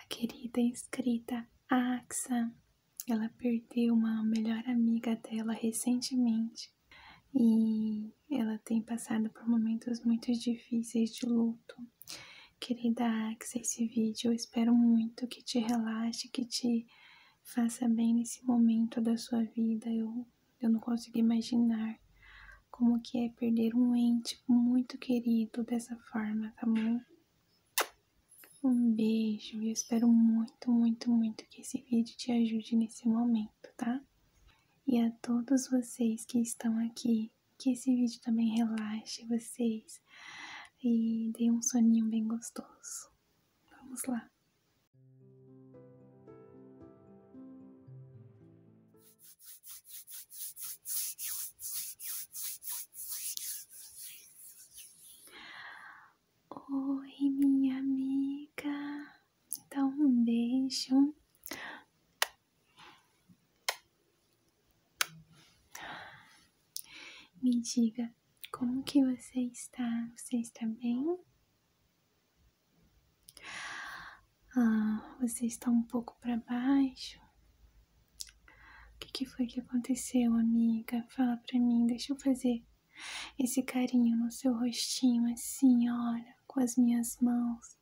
A querida escrita Axa, ela perdeu uma melhor amiga dela recentemente e ela tem passado por momentos muito difíceis de luto. Querida Axa, esse vídeo eu espero muito que te relaxe, que te faça bem nesse momento da sua vida. eu não consigo imaginar como que é perder um ente muito querido dessa forma, tá bom? Um beijo e espero muito, muito, muito que esse vídeo te ajude nesse momento, tá? E a todos vocês que estão aqui, que esse vídeo também relaxe vocês e dê um soninho bem gostoso. Vamos lá! Oi, minha amiga. Dá um beijo. Me diga como que você está? Você está bem? Ah, você está um pouco para baixo? O que, foi que aconteceu, amiga? Fala pra mim, deixa eu fazer esse carinho no seu rostinho, assim, olha, com as minhas mãos.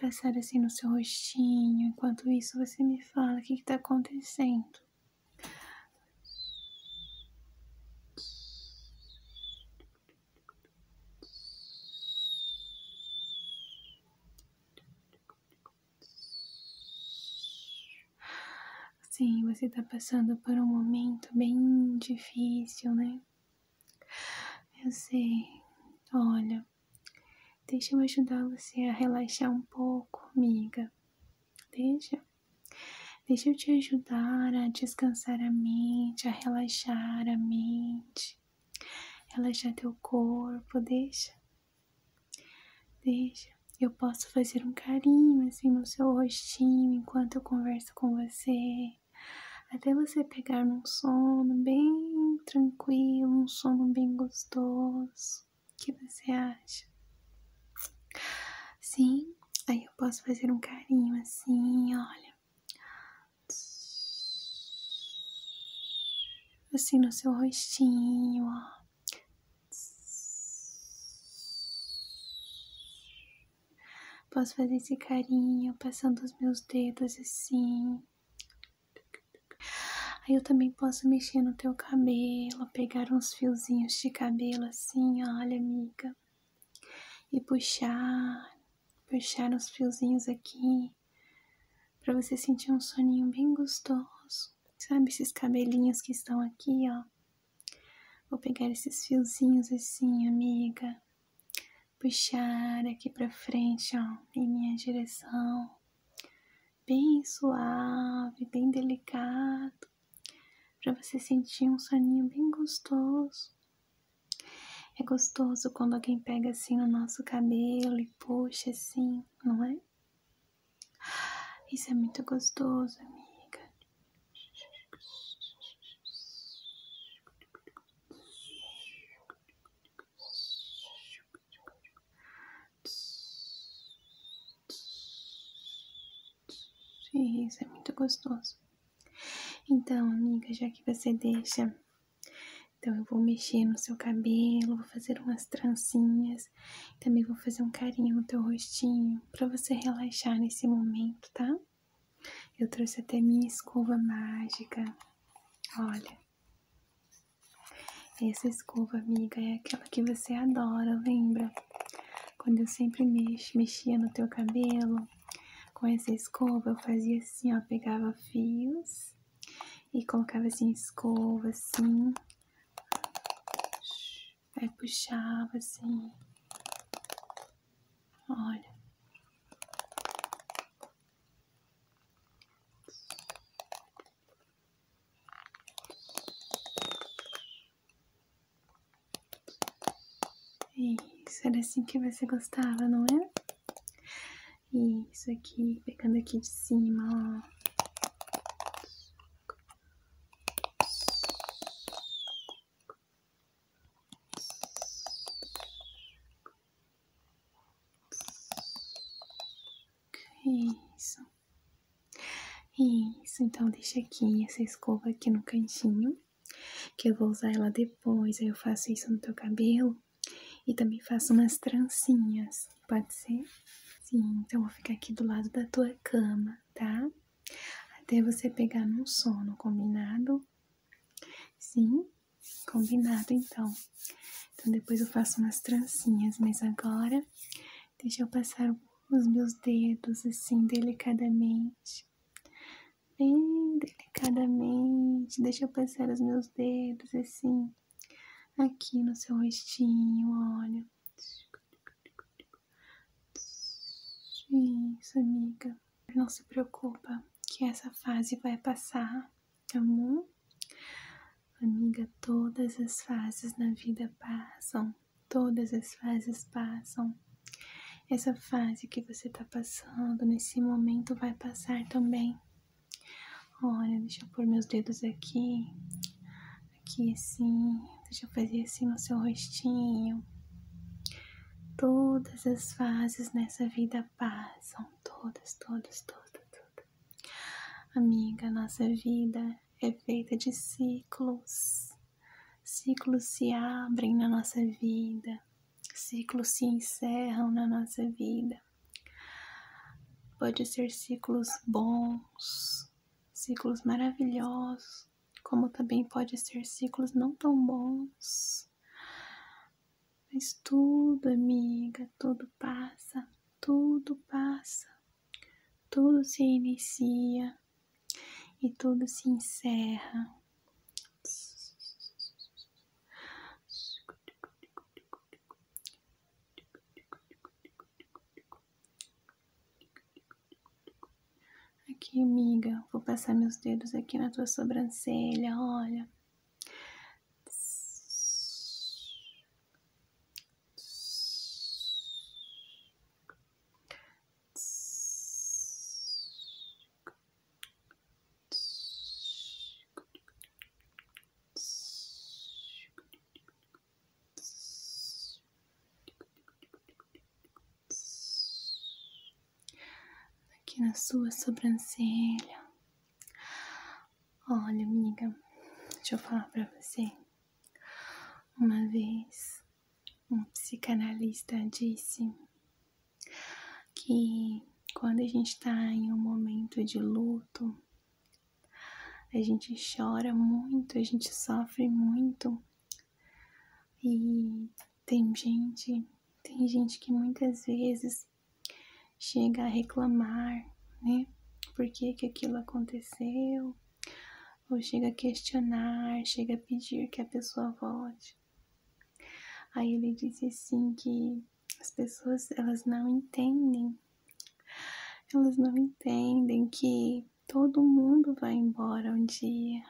Passar assim no seu rostinho. Enquanto isso, você me fala o que, que tá acontecendo. Sim, você tá passando por um momento bem difícil, né? Eu sei. Olha, deixa eu ajudar você a relaxar um pouco, amiga. Deixa. Deixa eu te ajudar a descansar a mente, a relaxar a mente, relaxar teu corpo, deixa. Veja, eu posso fazer um carinho assim no seu rostinho enquanto eu converso com você, até você pegar num sono bem tranquilo, um sono bem gostoso. O que você acha? Sim, aí eu posso fazer um carinho assim, olha assim no seu rostinho, ó. Posso fazer esse carinho passando os meus dedos assim. Aí eu também posso mexer no teu cabelo, pegar uns fiozinhos de cabelo assim, olha, amiga. E puxar, puxar uns fiozinhos aqui para você sentir um soninho bem gostoso. Sabe esses cabelinhos que estão aqui, ó? Vou pegar esses fiozinhos assim, amiga. Puxar aqui para frente, ó, em minha direção. Bem suave, bem delicado, para você sentir um soninho bem gostoso. É gostoso quando alguém pega assim no nosso cabelo e puxa assim, não é? Isso é muito gostoso, amiga. Isso é muito gostoso. Então, amiga, já que você deixa então eu vou mexer no seu cabelo, vou fazer umas trancinhas, também vou fazer um carinho no teu rostinho para você relaxar nesse momento, tá? Eu trouxe até minha escova mágica. Olha. Essa escova, amiga, é aquela que você adora, lembra? Quando eu sempre mexo, mexia no teu cabelo, com essa escova eu fazia assim, ó, pegava fios e colocava assim, escova assim. Aí puxava assim. Olha. É isso, era assim que você gostava, não é? Isso aqui, pegando aqui de cima, ó. Isso. Isso, então deixa aqui essa escova aqui no cantinho, que eu vou usar ela depois, aí eu faço isso no teu cabelo. E também faço umas trancinhas, pode ser? Sim, então vou ficar aqui do lado da tua cama, tá? Até você pegar num sono, combinado? Sim, combinado então. Então depois eu faço umas trancinhas, mas agora deixa eu passar os meus dedos assim delicadamente. Bem delicadamente, deixa eu passar os meus dedos assim aqui no seu rostinho, olha. Isso, amiga. Não se preocupa que essa fase vai passar, tá bom? Amiga, todas as fases na vida passam, todas as fases passam. Essa fase que você está passando nesse momento vai passar também, Olha, deixa eu pôr meus dedos aqui. Aqui assim. Deixa eu fazer assim no seu rostinho. Todas as fases nessa vida passam. Todas, todas, todas, todas. Amiga, nossa vida é feita de ciclos. Ciclos se abrem na nossa vida. Ciclos se encerram na nossa vida. Pode ser ciclos bons, ciclos maravilhosos, como também pode ser ciclos não tão bons. Mas tudo, amiga, tudo passa, tudo passa, tudo se inicia e tudo se encerra. Aqui, amiga, vou passar meus dedos aqui na tua sobrancelha, olha. Aqui na sua sobrancelha. Olha, amiga, deixa eu falar pra você. Uma vez, um psicanalista disse que quando a gente está em um momento de luto, a gente chora muito, a gente sofre muito. E tem gente, tem gente que muitas vezes chega a reclamar, né? Por que, aquilo aconteceu? Ou chega a questionar, chega a pedir que a pessoa volte. Aí ele diz assim que as pessoas elas não entendem. Elas não entendem que todo mundo vai embora um dia.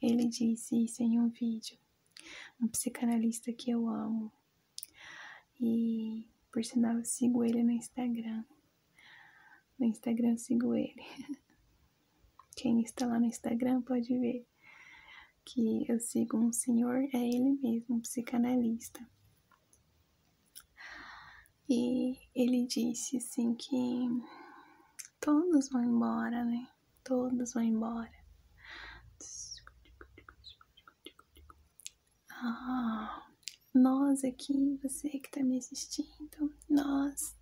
Ele disse isso em um vídeo. Um psicanalista que eu amo. E por sinal eu sigo ele no Instagram. No Instagram sigo ele. Quem está lá no Instagram pode ver que eu sigo um senhor, é ele mesmo, um psicanalista. E ele disse assim que todos vão embora, né? Todos vão embora. Ah, nós aqui, você que tá me assistindo, nós,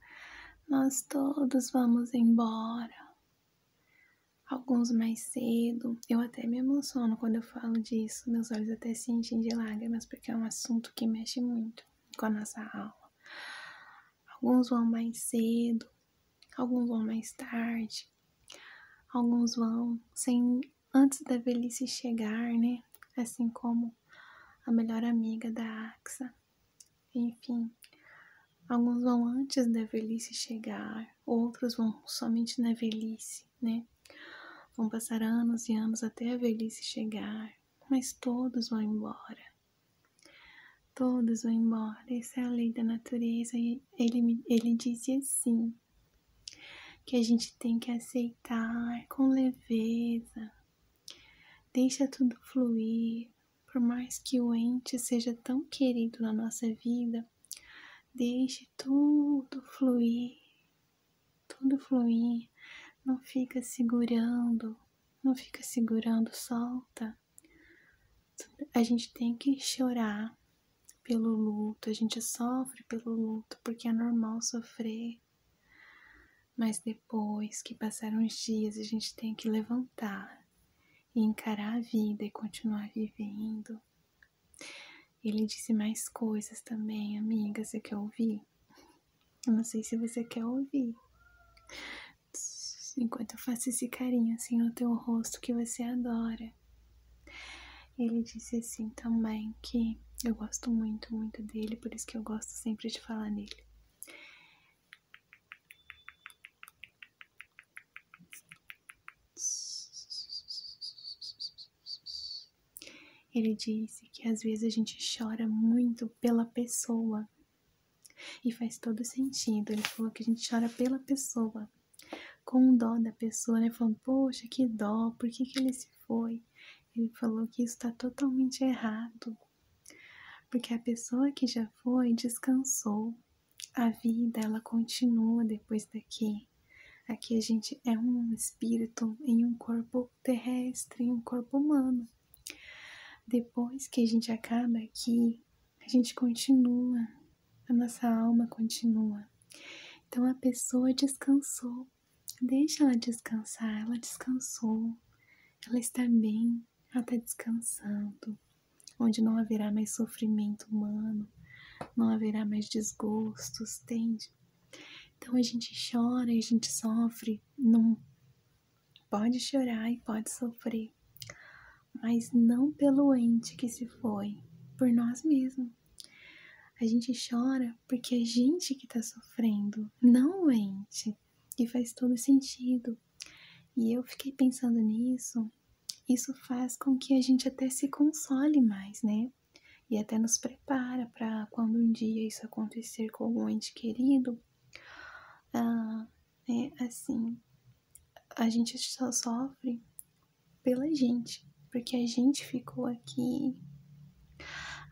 nós todos vamos embora. Alguns mais cedo, eu até me emociono quando eu falo disso, meus olhos até se enchem de lágrimas, porque é um assunto que mexe muito com a nossa aula. Alguns vão mais cedo, alguns vão mais tarde, alguns vão sem antes da velhice chegar, né? Assim como a melhor amiga da Axa. Enfim, alguns vão antes da velhice chegar, outros vão somente na velhice, né? Vão passar anos e anos até a velhice chegar, mas todos vão embora. Todos vão embora. Essa é a lei da natureza. E ele, ele disse assim: que a gente tem que aceitar com leveza. Deixa tudo fluir. Por mais que o ente seja tão querido na nossa vida, deixe tudo fluir tudo fluir, não fica segurando, não fica segurando, solta. A gente tem que chorar pelo luto, a gente sofre pelo luto porque é normal sofrer. Mas depois que passaram os dias, a gente tem que levantar e encarar a vida e continuar vivendo ele disse mais coisas também, amiga. Você quer ouvir? Eu não sei se você quer ouvir. Enquanto eu faço esse carinho assim no teu rosto que você adora. Ele disse assim também que eu gosto muito, muito dele, por isso que eu gosto sempre de falar nele. Ele disse que às vezes a gente chora muito pela pessoa. E faz todo sentido. Ele falou que a gente chora pela pessoa. Com dó da pessoa, né? Falando, poxa, que dó, por que, que ele se foi? Ele falou que isso está totalmente errado. Porque a pessoa que já foi descansou. A vida, ela continua depois daqui. Aqui a gente é um espírito em um corpo terrestre, em um corpo humano. Depois que a gente acaba aqui, a gente continua, a nossa alma continua. Então a pessoa descansou, deixa ela descansar, ela descansou, ela está bem, ela está descansando, onde não haverá mais sofrimento humano, não haverá mais desgostos, entende? Então a gente chora, a gente sofre, não pode chorar e pode sofrer, mas não pelo ente que se foi, por nós mesmos. A gente chora porque é gente que está sofrendo, não o ente. E faz todo sentido. E eu fiquei pensando nisso. Isso faz com que a gente até se console mais, né? E até nos prepara para quando um dia isso acontecer com algum ente querido, né? Assim, a gente só sofre pela gente, porque a gente ficou aqui,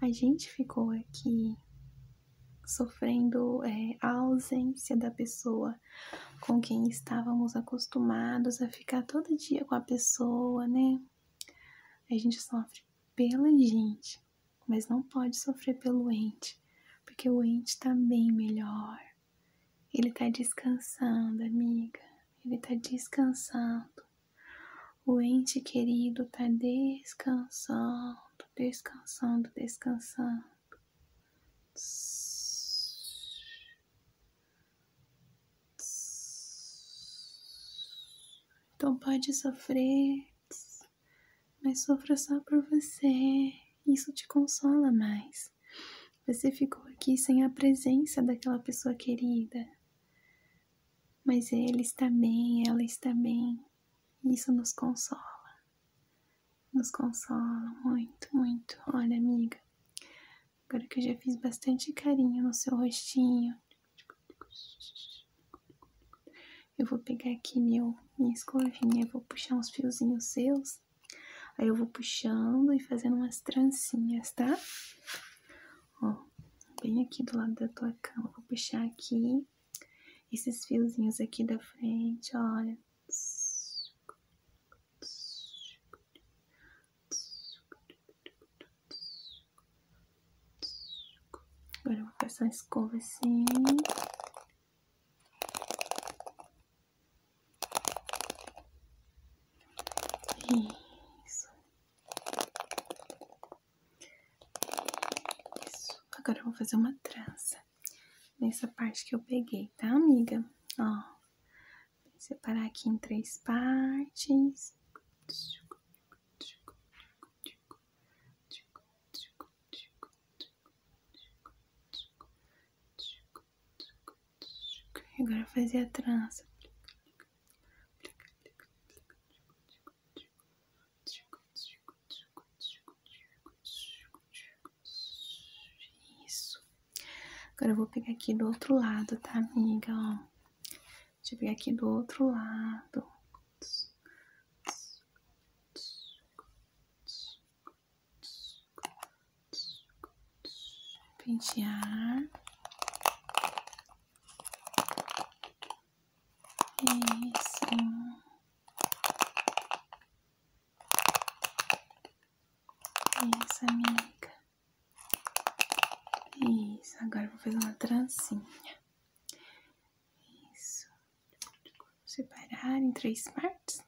a gente ficou aqui sofrendo é, a ausência da pessoa com quem estávamos acostumados a ficar todo dia com a pessoa, né? A gente sofre pela gente, mas não pode sofrer pelo ente, porque o ente está bem melhor. Ele está descansando, amiga. Ele está descansando. O ente querido está descansando, descansando, descansando. Então pode sofrer, mas sofra só por você. Isso te consola mais. Você ficou aqui sem a presença daquela pessoa querida. Mas ele está bem, ela está bem. Isso nos consola. Nos consola muito, muito. Olha, amiga, Agora que eu já fiz bastante carinho no seu rostinho. Eu vou pegar aqui meu, minha escovinha, vou puxar uns fiozinhos seus. Aí eu vou puxando e fazendo umas trancinhas, tá? Ó, bem aqui do lado da tua cama. Vou puxar aqui esses fiozinhos aqui da frente, olha. Agora vou passar a escova assim. Isso. Agora vou fazer uma trança nessa parte que eu peguei, tá, amiga? Ó, separar aqui em três partes. agora fazer a trança. Isso. Agora eu vou pegar aqui do outro lado, tá, amiga? Ó. Deixa ver aqui do outro lado. Pentear. Isso. Isso, amiga. Isso, agora vou fazer uma trancinha. Isso. separar em três partes.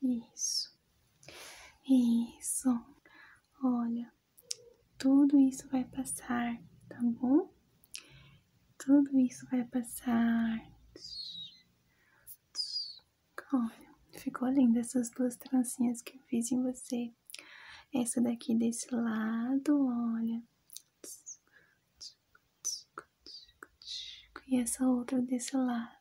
Isso. Isso. Olha, tudo isso vai passar, tá bom? Tudo isso vai passar. Olha, ficou linda essas duas trancinhas que eu fiz em você. Essa daqui desse lado, olha. E essa outra desse lado.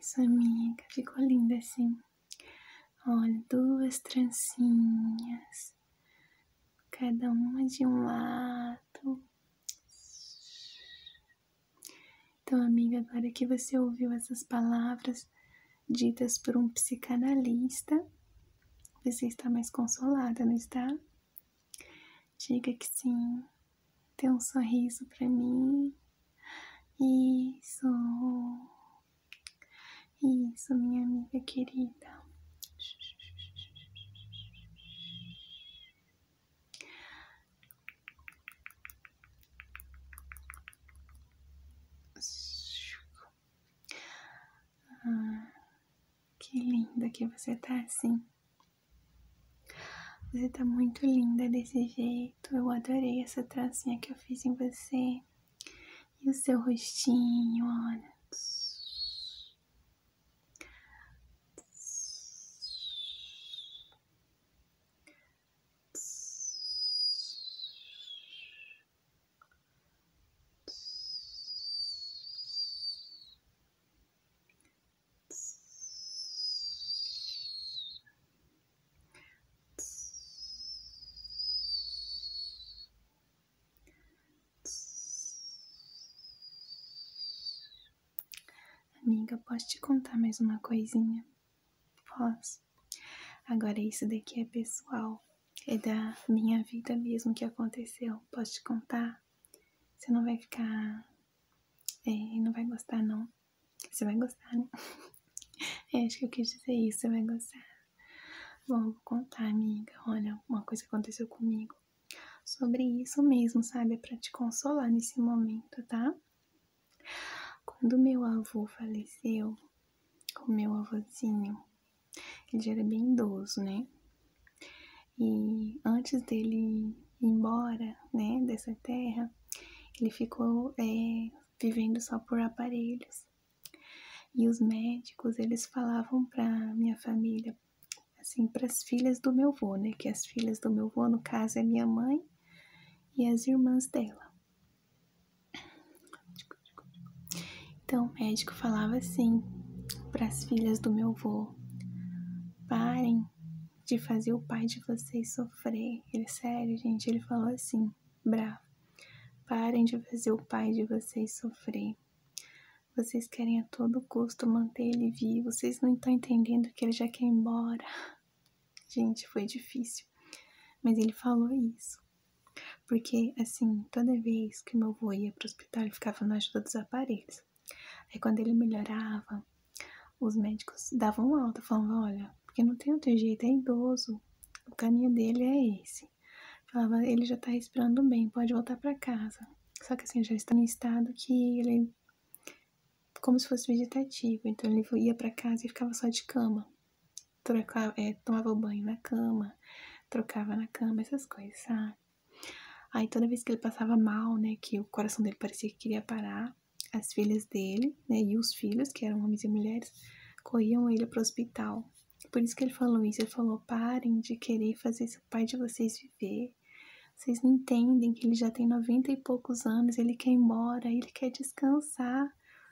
Isso, amiga, ficou linda assim. Olha, duas trancinhas, cada uma de um lado. Então, amiga, agora que você ouviu essas palavras ditas por um psicanalista, você está mais consolada, não está? Diga que sim. Dê um sorriso para mim. Isso. Isso, minha amiga querida. Ah, que linda que você tá assim. Você tá muito linda desse jeito. Eu adorei essa trancinha que eu fiz em você. E o seu rostinho, olha. Amiga, posso te contar mais uma coisinha? Posso. Agora isso daqui é pessoal. É da minha vida mesmo que aconteceu. Posso te contar? Você não vai ficar. É, não vai gostar, não. Você vai gostar, né? é, acho que eu quis dizer isso. Você vai gostar. Bom, vou contar, amiga. Olha, uma coisa aconteceu comigo. Sobre isso mesmo, sabe? É pra te consolar nesse momento, tá? Quando meu avô faleceu, o meu avôzinho, ele já era bem idoso, né? E antes dele ir embora, né, dessa terra, ele ficou é, vivendo só por aparelhos. E os médicos, eles falavam pra minha família, assim, para as filhas do meu vô, né? Que as filhas do meu vô no caso, é minha mãe e as irmãs dela. Então o médico falava assim para as filhas do meu avô: parem de fazer o pai de vocês sofrer. Ele, sério, gente, ele falou assim, bravo. Parem de fazer o pai de vocês sofrer. Vocês querem a todo custo manter ele vivo. Vocês não estão entendendo que ele já quer ir embora. Gente, foi difícil. Mas ele falou isso. Porque, assim, toda vez que meu avô ia pro hospital, ele ficava na ajuda dos aparelhos. Aí, quando ele melhorava, os médicos davam alta, falavam: Olha, porque não tem outro jeito, é idoso, o caminho dele é esse. Falava: Ele já tá respirando bem, pode voltar para casa. Só que, assim, já está num estado que ele. como se fosse vegetativo. Então, ele ia para casa e ficava só de cama. Trocava, é, tomava banho na cama, trocava na cama, essas coisas, sabe? Aí toda vez que ele passava mal, né, que o coração dele parecia que queria parar, as filhas dele, né, e os filhos, que eram homens e mulheres, corriam ele para o hospital. Por isso que ele falou isso, ele falou: "Parem de querer fazer esse pai de vocês viver. Vocês não entendem que ele já tem 90 e poucos anos, ele quer ir embora, ele quer descansar".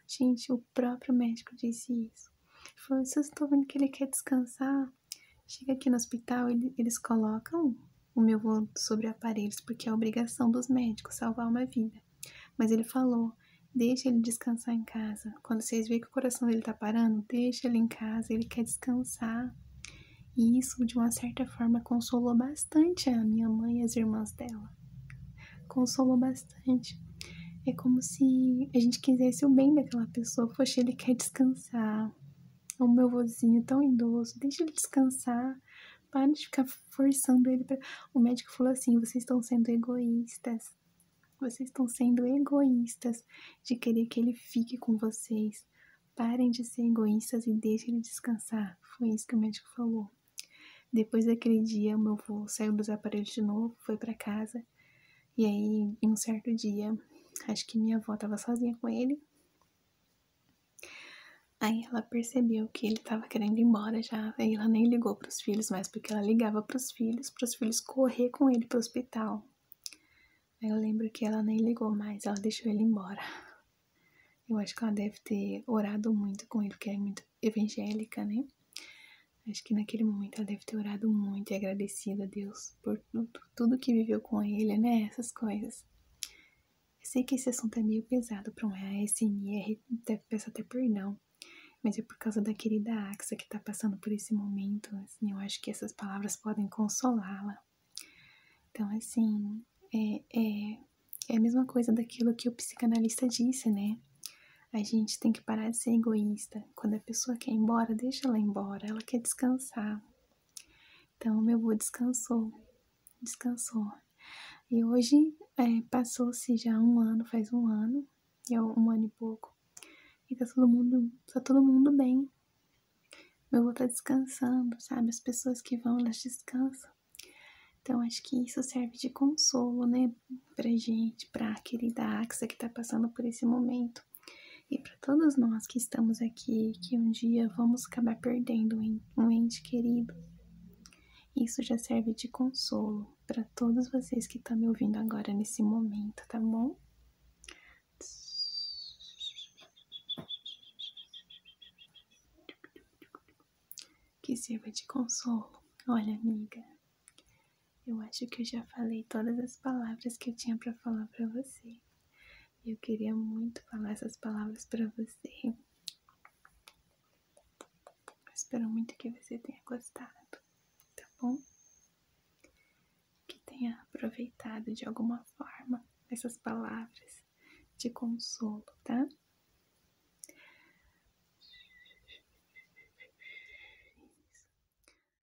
Gente, o próprio médico disse isso. Ele falou: "Vocês estão vendo que ele quer descansar? Chega aqui no hospital, ele, eles colocam o meu voo sobre aparelhos, porque é obrigação dos médicos salvar uma vida. Mas ele falou: deixa ele descansar em casa. Quando vocês veem que o coração dele tá parando, deixa ele em casa, ele quer descansar. E isso, de uma certa forma, consolou bastante a minha mãe e as irmãs dela. Consolou bastante. É como se a gente quisesse o bem daquela pessoa. Poxa, ele quer descansar. O meu vozinho tão idoso, deixa ele descansar. Para de ficar forçando ele. O médico falou assim: vocês estão sendo egoístas. Vocês estão sendo egoístas de querer que ele fique com vocês. Parem de ser egoístas e deixem ele descansar. Foi isso que o médico falou. Depois daquele dia, o meu voo saiu dos aparelhos de novo, foi para casa. E aí, em um certo dia, acho que minha avó tava sozinha com ele. Aí ela percebeu que ele tava querendo ir embora já. Aí ela nem ligou para os filhos mais, porque ela ligava para os filhos, para os filhos correr com ele pro hospital. Aí eu lembro que ela nem ligou mais, ela deixou ele embora. Eu acho que ela deve ter orado muito com ele, porque é muito evangélica, né? Acho que naquele momento ela deve ter orado muito e agradecido a Deus por tudo tudo que viveu com ele, né? Essas coisas. Eu sei que esse assunto é meio pesado para um ASMR, peço até perdão, mas é por causa da querida Axa que tá passando por esse momento, assim, eu acho que essas palavras podem consolá-la. Então, assim, é, é, é a mesma coisa daquilo que o psicanalista disse, né? A gente tem que parar de ser egoísta, quando a pessoa quer ir embora, deixa ela embora, ela quer descansar. Então, meu avô descansou, descansou. E hoje é, passou-se já um ano, faz um ano, é um ano e pouco, e tá todo mundo, tá todo mundo bem. Meu avô tá descansando, sabe? As pessoas que vão, elas descansam. Então, acho que isso serve de consolo, né, pra gente, pra querida Axa que tá passando por esse momento. E para todos nós que estamos aqui, que um dia vamos acabar perdendo um ente querido, isso já serve de consolo para todos vocês que estão tá me ouvindo agora nesse momento, tá bom? Que sirva de consolo. Olha, amiga, eu acho que eu já falei todas as palavras que eu tinha para falar para você. Eu queria muito falar essas palavras para você. espero muito que você tenha gostado, tá bom? Que tenha aproveitado de alguma forma essas palavras de consolo, tá?